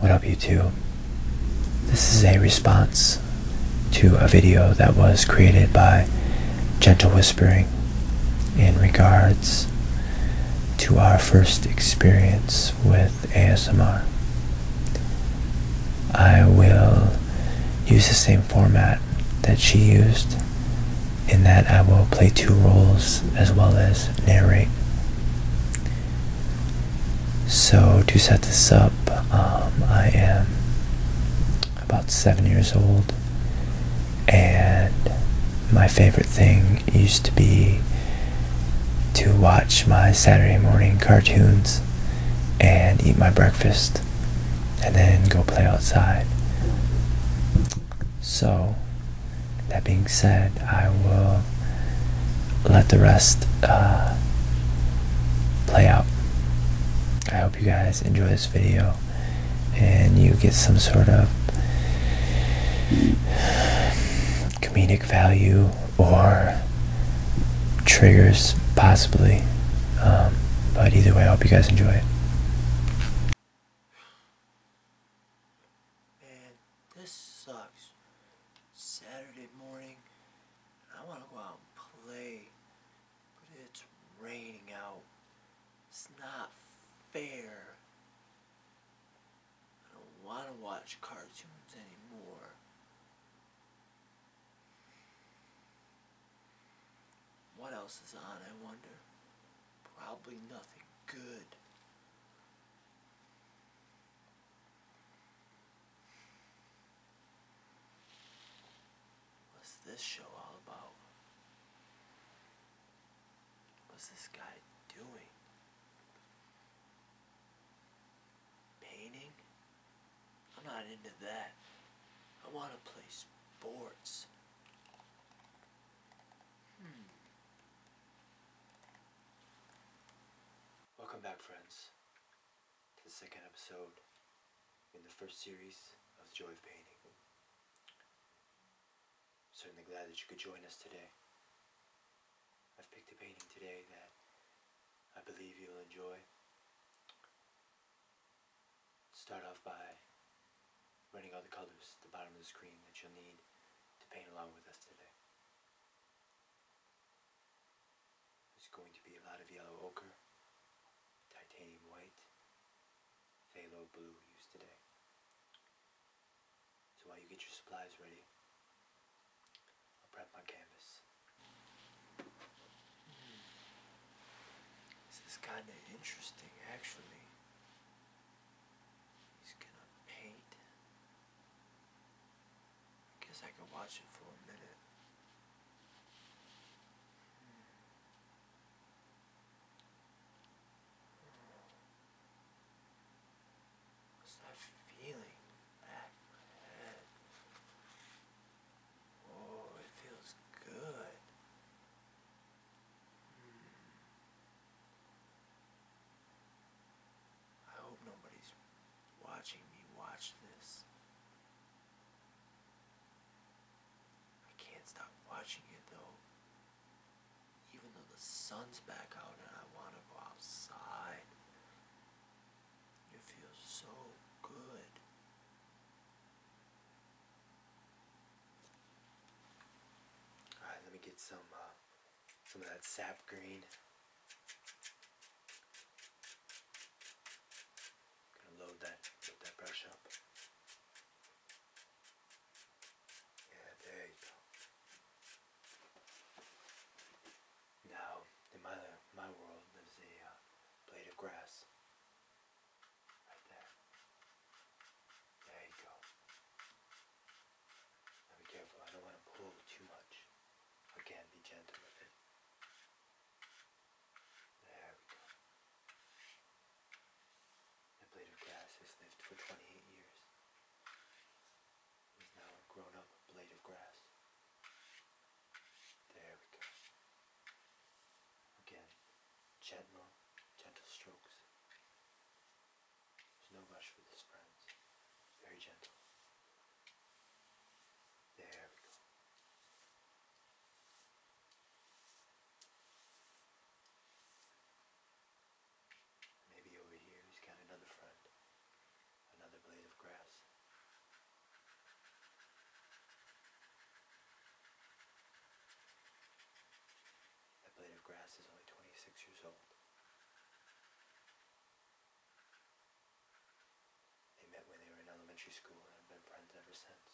What up, YouTube? This is a response to a video that was created by Gentle Whispering in regards to our first experience with ASMR. I will use the same format that she used, in that I will play two roles as well as narrate. So, to set this up, um, I am about seven years old, and my favorite thing used to be to watch my Saturday morning cartoons and eat my breakfast and then go play outside. So, that being said, I will let the rest uh, play out. I hope you guys enjoy this video and you get some sort of comedic value or triggers, possibly. Um, but either way, I hope you guys enjoy it. Man, this sucks. Saturday morning, I want to go out and play, but it's raining out. It's not fair. I don't want to watch cartoons anymore. What else is on, I wonder? Probably nothing good. What's this show all about? What's this guy doing? Painting? I'm not into that. I want to play sports. Hmm. Welcome back, friends, to the second episode in the first series of Joy of Painting. certainly glad that you could join us today. I've picked a painting today that I believe you'll enjoy. Start off by running all the colors at the bottom of the screen that you'll need to paint along with us today. There's going to be a lot of yellow ochre, titanium white, phthalo blue used today. So while you get your supplies ready, I'll prep my canvas. This is kinda interesting actually. He's gonna paint I guess I can watch it for a minute. What's that feeling back in my head? Oh, it feels good. Hmm. I hope nobody's watching me watch this. I can't stop watching it though. Even though the sun's back out and I want to go outside. It feels so good. Alright, let me get some uh, some of that sap green. Gonna load that, load that brush up. Yeah, there you go. Now, in my, my world, there's a uh, blade of grass. Right there. There you go. Now be careful, I don't want to pull too much. Again, be gentle with it. There we go. The blade of grass has lived for 28 years. It is now a grown-up blade of grass. There we go. Again, gentle, gentle strokes. There's no rush with this, friends. Very gentle. There we go. Maybe over here he's got another friend, another blade of grass. That blade of grass is only 26 years old. They met when they were in elementary school and have been friends ever since.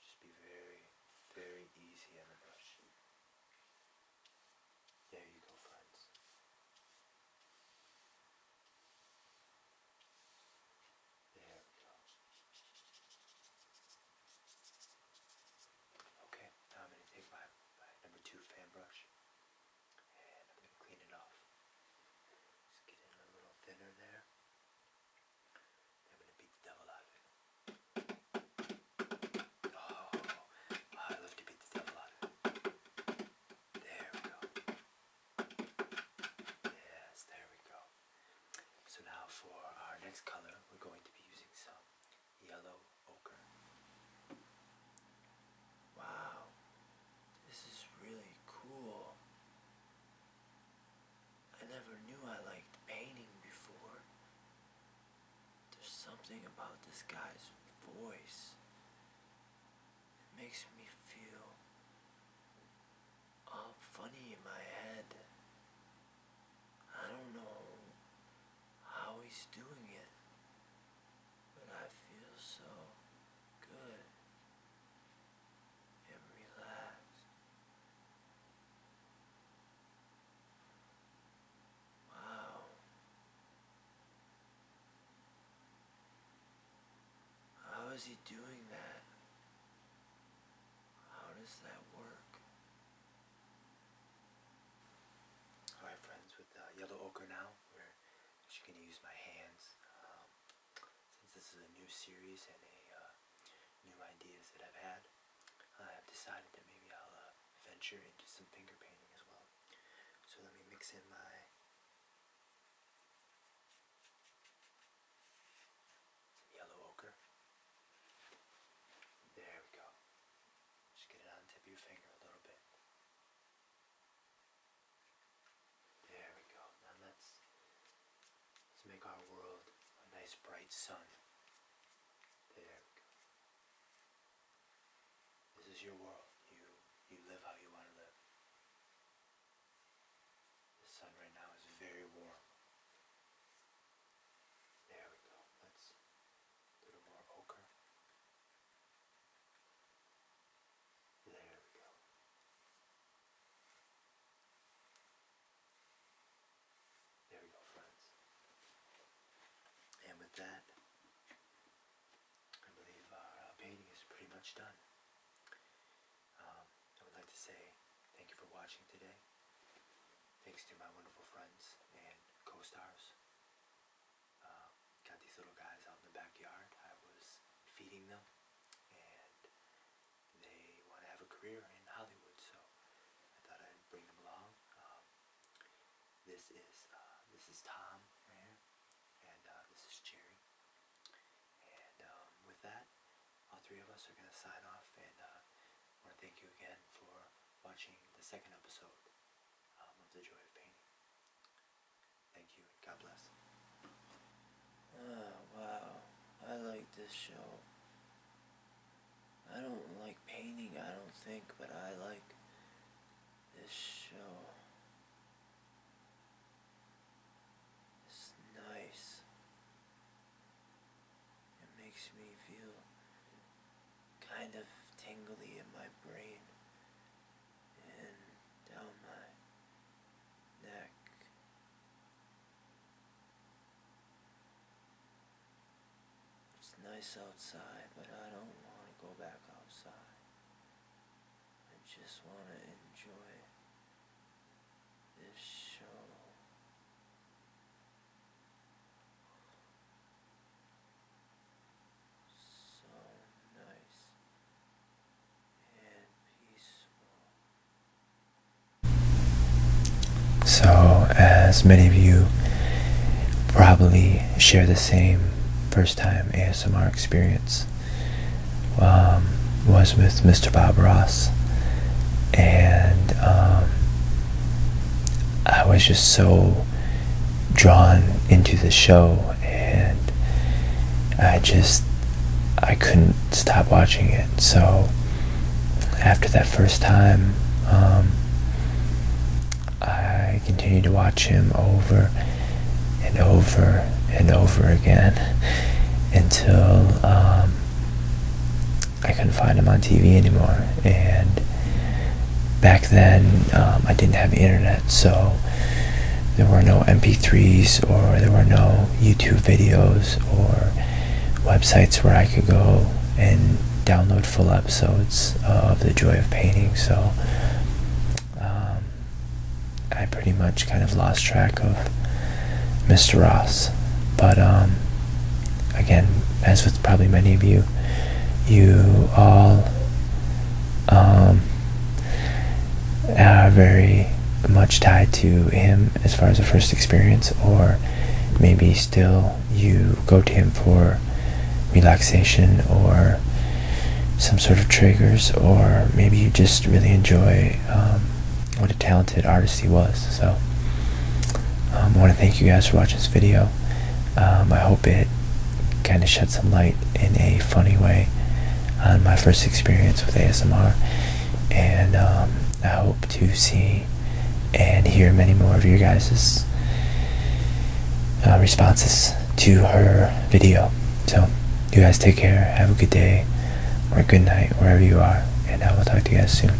just be very, very easy on the brush. There you go, friends. There we go. Okay, now I'm going to take my, number two fan brush and I'm going to clean it off. Just get it a little thinner there. I'm going to beat the devil out of it. Oh, I love to beat the devil out of it. There we go. Yes, there we go. So now for our next color, we're going to be using some yellow ochre. Wow, this is really cool. I never knew I liked painting before. There's something about this guy's voice. that makes me feel all funny in my head. I don't know how he's doing it, but I feel so good and relaxed. Wow. How is he doing that? How does that work? Alright friends, with uh, yellow ochre now, we're actually going to use my hands. Um, since this is a new series and a uh, new ideas that I've had, I've decided that maybe I'll uh, venture into some finger painting as well. So let me mix in my yellow ochre. There we go. Just get it on the tip of your finger a little bit. There we go. Now let's let's make our world a nice bright sun. There This is your world. You you live how you want to live. The sun right now is very warm. There we go. Let's little more ochre. There we go. There we go, friends. And with that, I believe our uh, painting is pretty much done. Um, I would like to say thank you for watching today thanks to my wonderful friends and co-stars. Um, got these little guys out in the backyard. I was feeding them and they want to have a career in Hollywood, so I thought I'd bring them along. Um, this is uh, this is Tom and uh, this is Jerry. And um, with that, all three of us are going to sign off and uh, I want to thank you again for watching the second episode um, of The Joy of Painting. Thank you, and God bless. Ah, wow. I like this show. I don't like painting, I don't think, but I like this show. It's nice. It makes me feel kind of tingly in my brain and down my neck. It's nice outside, but I don't want to go back outside. I just want to enjoy this show. So as many of you probably share the same first time ASMR experience, um, was with Mr. Bob Ross. And um, I was just so drawn into the show and I just I couldn't stop watching it so after that first time um, I continued to watch him over and over and over again until um, I couldn't find him on TV anymore. And back then, um, I didn't have internet, so there were no MP3s or there were no YouTube videos or websites where I could go and download full episodes of The Joy of Painting. So um, I pretty much kind of lost track of Mr. Ross. But um, again, as with probably many of you, you all um, are very much tied to him as far as a first experience, or maybe still you go to him for relaxation or some sort of triggers, or maybe you just really enjoy um, what a talented artist he was. So, um, I want to thank you guys for watching this video. Um, I hope it kind of shed some light in a funny way on my first experience with ASMR. And um, I hope to see and hear many more of your guys' uh, responses to her video. So, you guys take care. Have a good day or good night wherever you are. And I will talk to you guys soon.